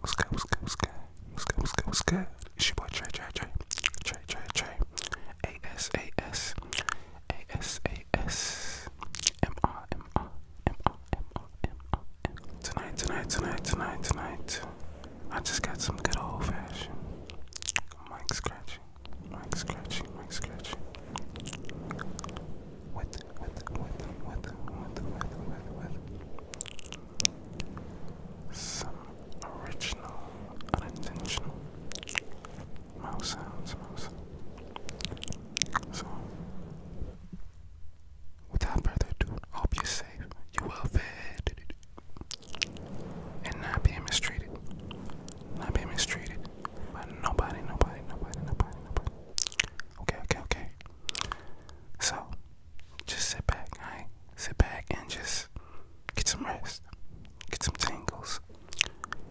What's good, what's good, what's good, what's good, what's good, what's good? It's boy Trey, Trey, Trey, Trey, Trey, A-S, A-S, A-S, A-S, M-R, M-R, Tonight, tonight, tonight, tonight, tonight. I just got some good old fashioned mic scratching, mic scratching, mic scratching. With, with, with, with, with, with, with, with. Some original, unintentional mouse sounds, mouse sounds. So, Without further ado, hope you're safe, you're well fed, and not being mistreated. Not being mistreated by nobody, nobody, nobody, nobody, Okay, okay, okay. So, just sit back, alright? Sit back and just get some rest, get some tangles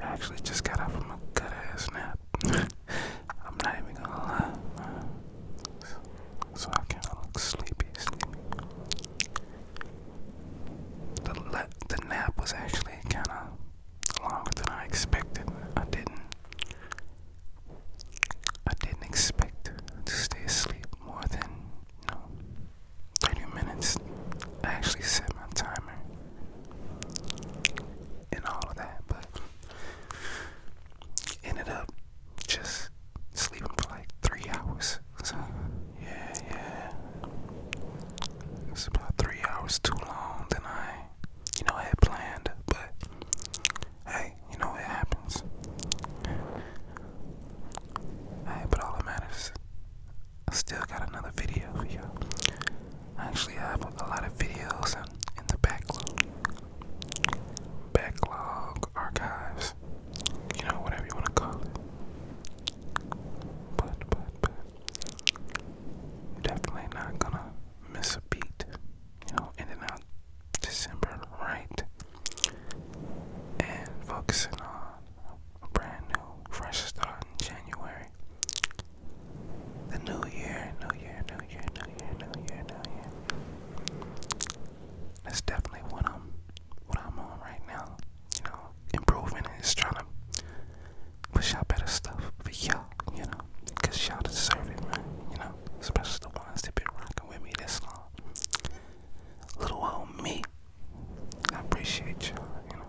I actually just got out from a good ass nap. I'm not even gonna lie. So I kinda look sleepy, The, nap was actually kinda longer than I expected. I didn't I didn't expect to stay asleep more than you 30 minutes. I actually set my timer and all of that, but ended up just sleeping for like three hours. So, yeah, yeah. It about three hours too long than I, you know, had planned, but hey, you know, it happens. Hey, but all that matters I still got another video for you I actually have a lot of videos in, in the backlog, backlog archives, you know, whatever you want to call it. But, but, but, you definitely not gonna miss a beat, you know, ending out December right and focusing on a brand new, fresh start in January. The new year, new year, new year, new year, new year, new year. That's definitely what I'm, what I'm on right now. You know, improving just trying to push out better stuff for y'all. You know, you y'all deserve it, man. You know, especially the ones that been rocking with me this long. Little old me. I appreciate you, you know.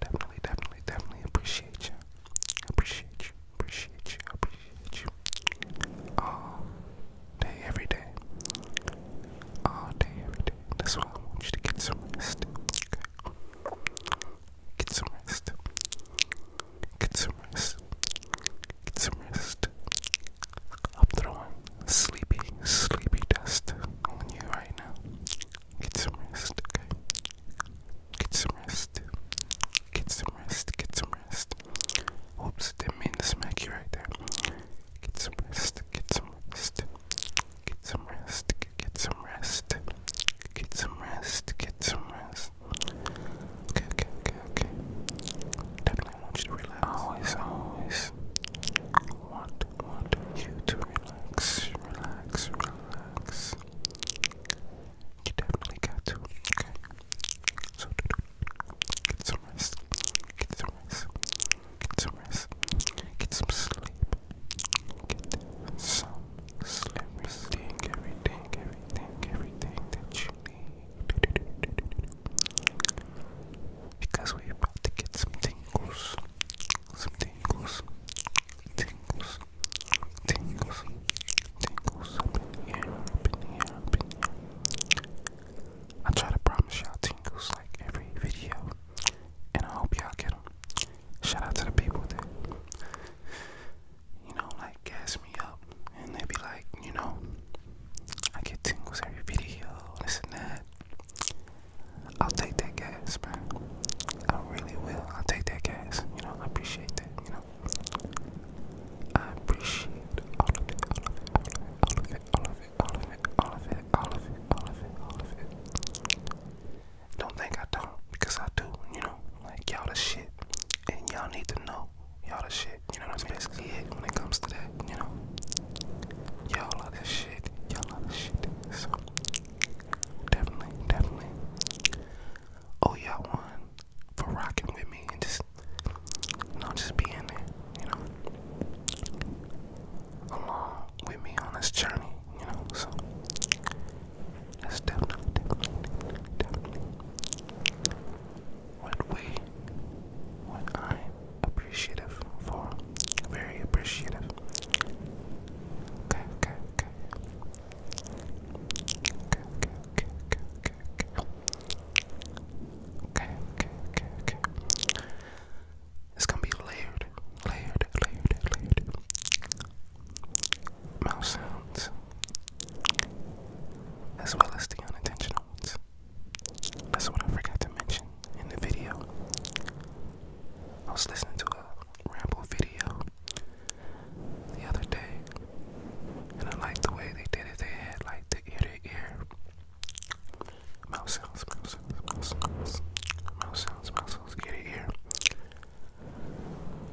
Definitely, definitely, definitely appreciate you. Appreciate you, appreciate you, appreciate you. All day, every day. All day, every day. That's why I want you to get some rest. Okay? Get some rest. Get some rest. Get some rest. I'm throwing sleepy, sleepy dust on you right now. Get some rest, okay? Get some rest. Get some rest. Get some rest. Oops, didn't mean to smack you right there. Get some rest. Get some rest. Get some rest. Get some rest. Get some rest. Get some rest. Okay, okay, okay, okay. Definitely really want you to relax. Always, always want, want you to relax, relax, relax. You definitely got to, okay? So, get some rest, get some rest, get some rest, get some sleep, get some sleep, everything, everything, everything, everything that you need. Because we're about to get some tingles. Some tingles. Tingles. Tingles. Tingles up in here. Up in here. Up in here. I try to promise y'all tingles like every video. And I hope y'all get them. Shout out to the people that, you know, like gas me up and they be like, you know, I get tingles every video, this and that. I'll take that gas, man. I really will. I'll take that gas. You know, I appreciate that. You know, I appreciate all of it, all of it, all of it, all of it, all of it, all of it, all of it, all of it, all of it. Don't think I don't, because I do. You know, like y'all the shit, and y'all need to know Y'all the shit, you know what I'm basically it when it comes to that, you know. Y'all love this shit, y'all love this shit. So definitely, definitely. Oh y'all one for rocking with me and just not just being there, you know. Along with me on this journey, you know, so that's definitely, definitely, definitely what we, what I'm for. Very appreciative. Okay, okay, okay. Okay, okay, okay, okay, okay, okay. Okay, It's gonna be layered, layered, layered, layered. Mouse sounds, as well as the unintentional ones. That's what I forgot to mention in the video. I was listening to a ramble video the other day, and I liked the way they did it. They had like the ear to ear mouse sounds, mouse sounds, mouse sounds, mouse sounds, mouse sounds, ear to ear,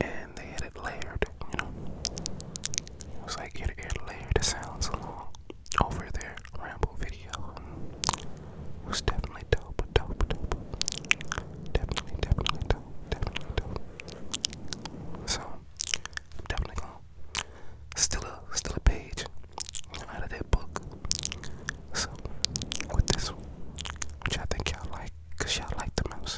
and they had it layered you know. It like it it layered the sounds along over their ramble video. was definitely dope, dope, dope. Definitely, definitely dope, definitely dope. So definitely gonna still a still a page out of that book. So with this which I think y'all like, cause y'all like the mouse.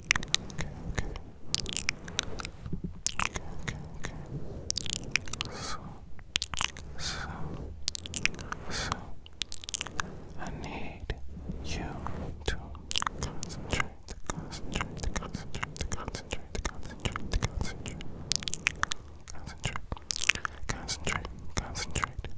Okay, okay. Okay, okay, okay. So, so, so, I need you to concentrate, concentrate, concentrate, concentrate, concentrate, concentrate, concentrate, concentrate, concentrate,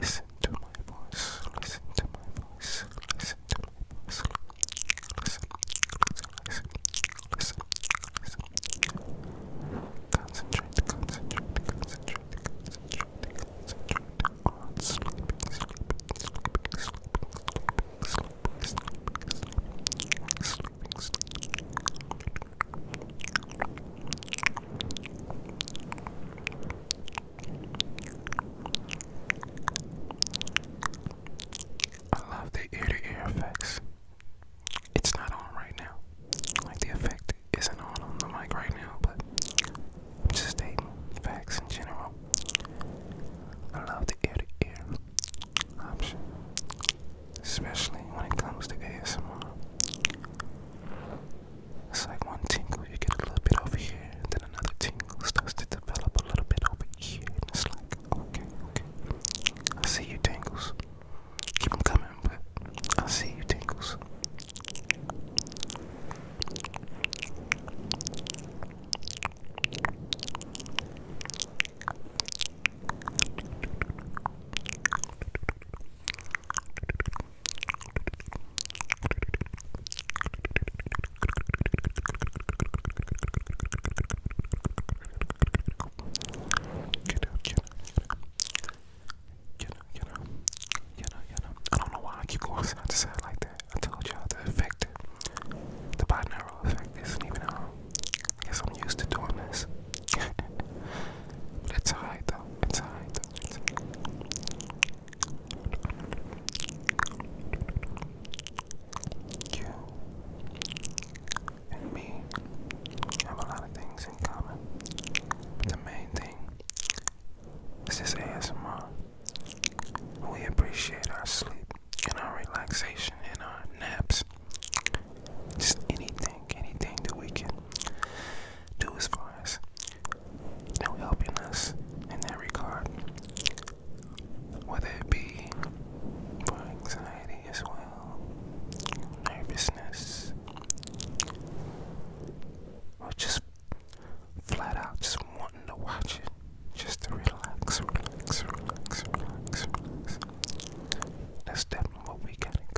Listen to my voice. Listen to my voice. Listen to my voice. Listen. Listen. Listen. Listen. listen. Concentrate. Concentrate. Concentrate. Concentrate. Concentrate on sleeping. Sleeping. Sleeping. Sleeping. Sleeping. Sleeping. Sleeping. Sleeping. Sleeping. Sleeping. I love the ear to ear effects. It's not on right now. Like the effect isn't on on the mic right now, but I'm just stating facts in general. I love the ear to ear option, especially when it comes to ASMR. It's like one tingle, you get a little bit over here, and then another tingle starts to develop a little bit over here, and it's like, okay, okay, I see you tangles. Keep them coming, but I see you tangles. Get out, get out, get out, get out, get out, get out. I don't know why I keep going side to side like that. I told y'all the effect, the binaural effect isn't even out. Um, guess I'm used to doing this. It's us hide though. Let's though. You and me have a lot of things in common. the main thing is this ASMR. We appreciate our sleep and our relaxation and our naps just anything, anything that we can do as far as you know helping us in that regard. Whether it be for anxiety as well, nervousness, or just flat out just wanting to watch it, just to relax, relax, relax, relax, relax. That's definitely what we got in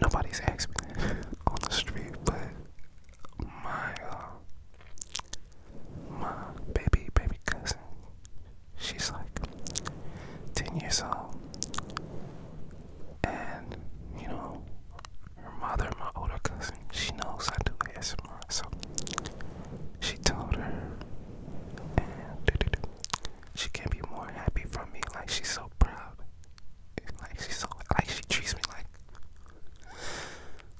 Nobody's asked on the street, but my uh, my baby baby cousin, she's like ten years old, and you know her mother, my older cousin, she knows I do ASMR, so she told her, she can't be more happy for me. Like she's so proud. Like she's so like she treats me like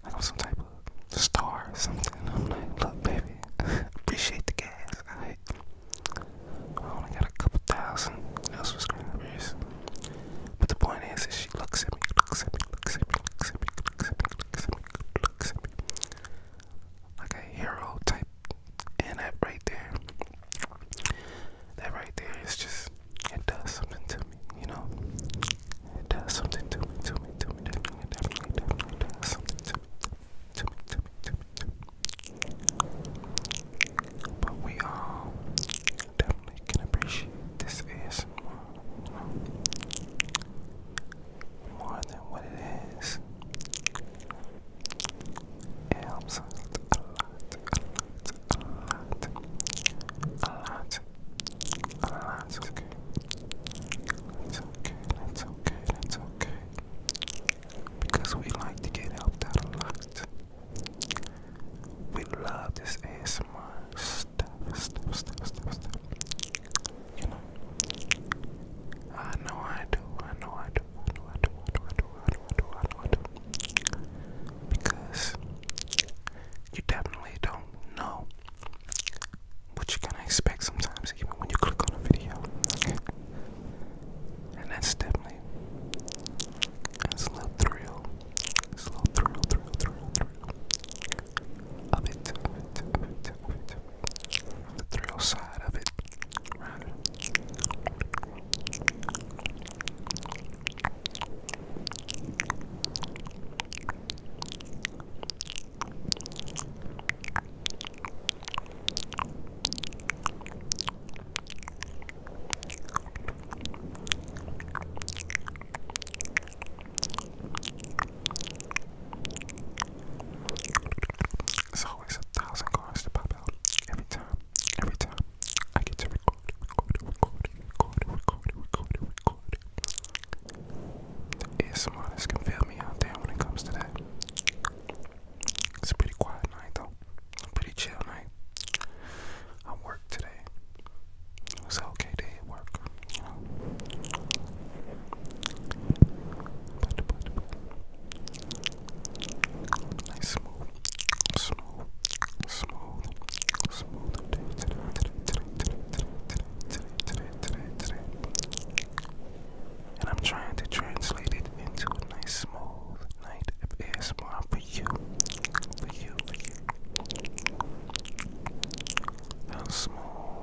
like I'm some type of star something. I'm like, look, baby, appreciate the gas. I only got a couple thousand. Else was coronavirus. But the point is, is she looks at me, looks at me, looks at me, looks at me, looks at me, looks at me, looks at me, looks at me. Like a hero type and that right there, that right there is just, it does something to me, you know? It does something to me, to me, to me, definitely, definitely, definitely does something to me, to me, to me, to me, to me. But we all definitely can appreciate this ASMR, you know? More than what it is. It helps us a lot, a lot, a lot, a lot, a lot. It's okay. It's okay. It's okay. It's okay. Because we like to get helped out a lot. We love this ASMR stuff, stuff, stuff, stuff, stuff. You know, I know I do. I know I do. I know I do. I know I do. I do Because you definitely don't know what you're gonna expect sometimes, even when you click on a video. and that's definitely that's a little thrill. It's a little thrill, thrill, thrill, thrill. Of it, of it, of it, of it the thrill side of it, right? So always a thousand cars to pop out every time, every time I get to record, record, record, record, record, record, record. The ASMRists can feel me out there when it comes to that. It's a pretty quiet night though, pretty chill night. I am worked today. It was an okay day at work, Nice smooth, smooth, smooth, smooth today, today, today, today, today, today, today, today, today, And I'm trying to translate it into a nice smooth night of ASMR for you, for you, for you. How smooth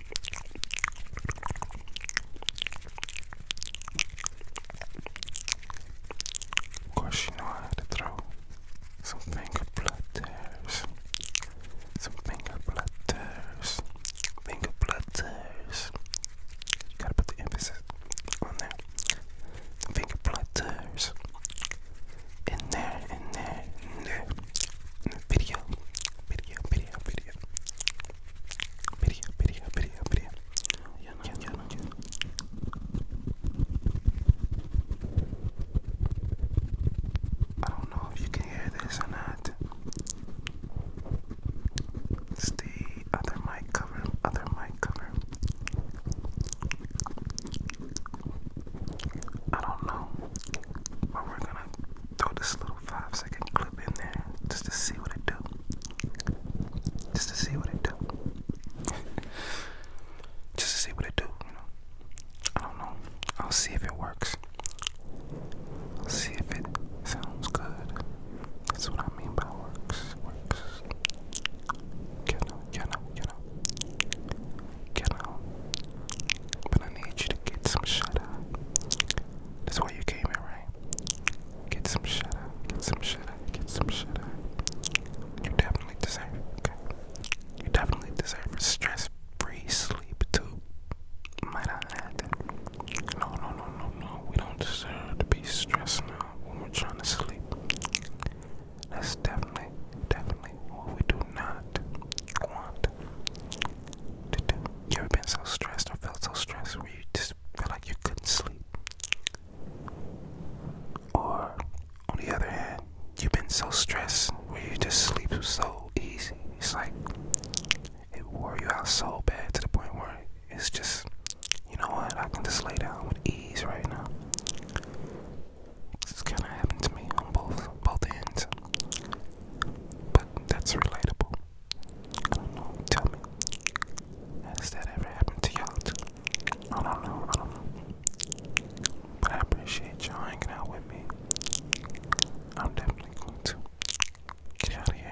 Of course, you some finger platters, some finger platters, finger platters. Gotta put the emphasis on there. finger platters in there, in there, there. video, video, video, video. Mirja, Mirja, Mirja, Mirja. Yana, yana, yana. yana. I don't know if you can hear this or not. It's the other mic cover, other mic cover. I don't know, but we're gonna do this little little five second clip in there just to see what it do. Just to see what it do. just to see what it do, you know. I don't know. I'll see if it works. I'll see if it sounds good. That's what I mean by works. Works. You know, you know, you know. You know. But I need you to get some shut eye. That's why you came here, right? Get some shit out. Get some shit out. Get some shit out. You definitely deserve it, okay? You definitely deserve stress-free sleep too. Might I add that? No, no, no, no, no. We don't deserve to be stressed now when we're trying to sleep. That's definitely, definitely what we do not want. You have been so stressed or felt so stressed where you just felt like you couldn't sleep? Or, on the other hand, you've been so stressed where you just sleep so easy. It's like it wore you out so bad to the point where it's just, you know what, I can just lay down with ease right now. This is kind of happened to me on both both ends. But that's relatable. I don't know. Tell me. Has that ever happened to y'all I don't know. I don't know. But I appreciate y'all hanging out with me. I'm definitely going to get out of here.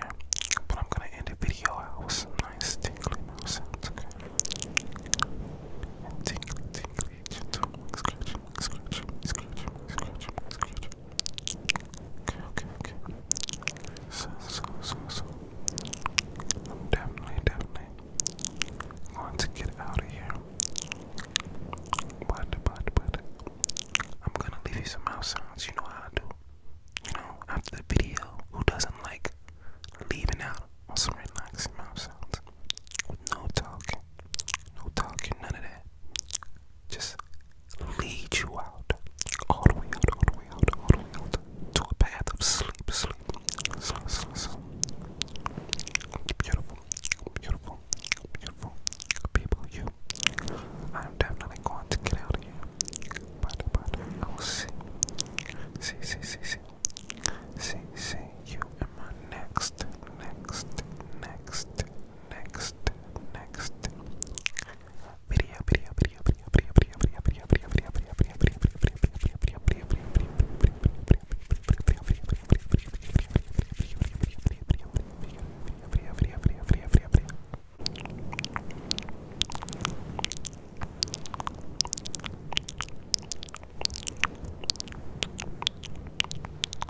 But I'm gonna end the video out with some nice tingly mouth sounds, okay? And tingly, tingly, gentle, scratching, scratching, scratching, scratching, scratching, Okay, okay, okay. So, so, so, so. I'm definitely, definitely going to get out of here. But, but, but. I'm gonna leave you some mouth sounds. You know how I do. You know, after the video, who doesn't like leaving out on some relaxing mouth sounds? no talking. No talking, none of that just lead you out, all the way out, all the way out, all the way out, to a path of sleep, sleep, sleep, sleep, sleep. Beautiful, beautiful, beautiful people. You, I'm definitely going to get out of here, but but I will see, see, see, see, see, see you in my next, next, next next, next video, video, video, video, video, video, video, video, video, video, video, video, video, video, video, video,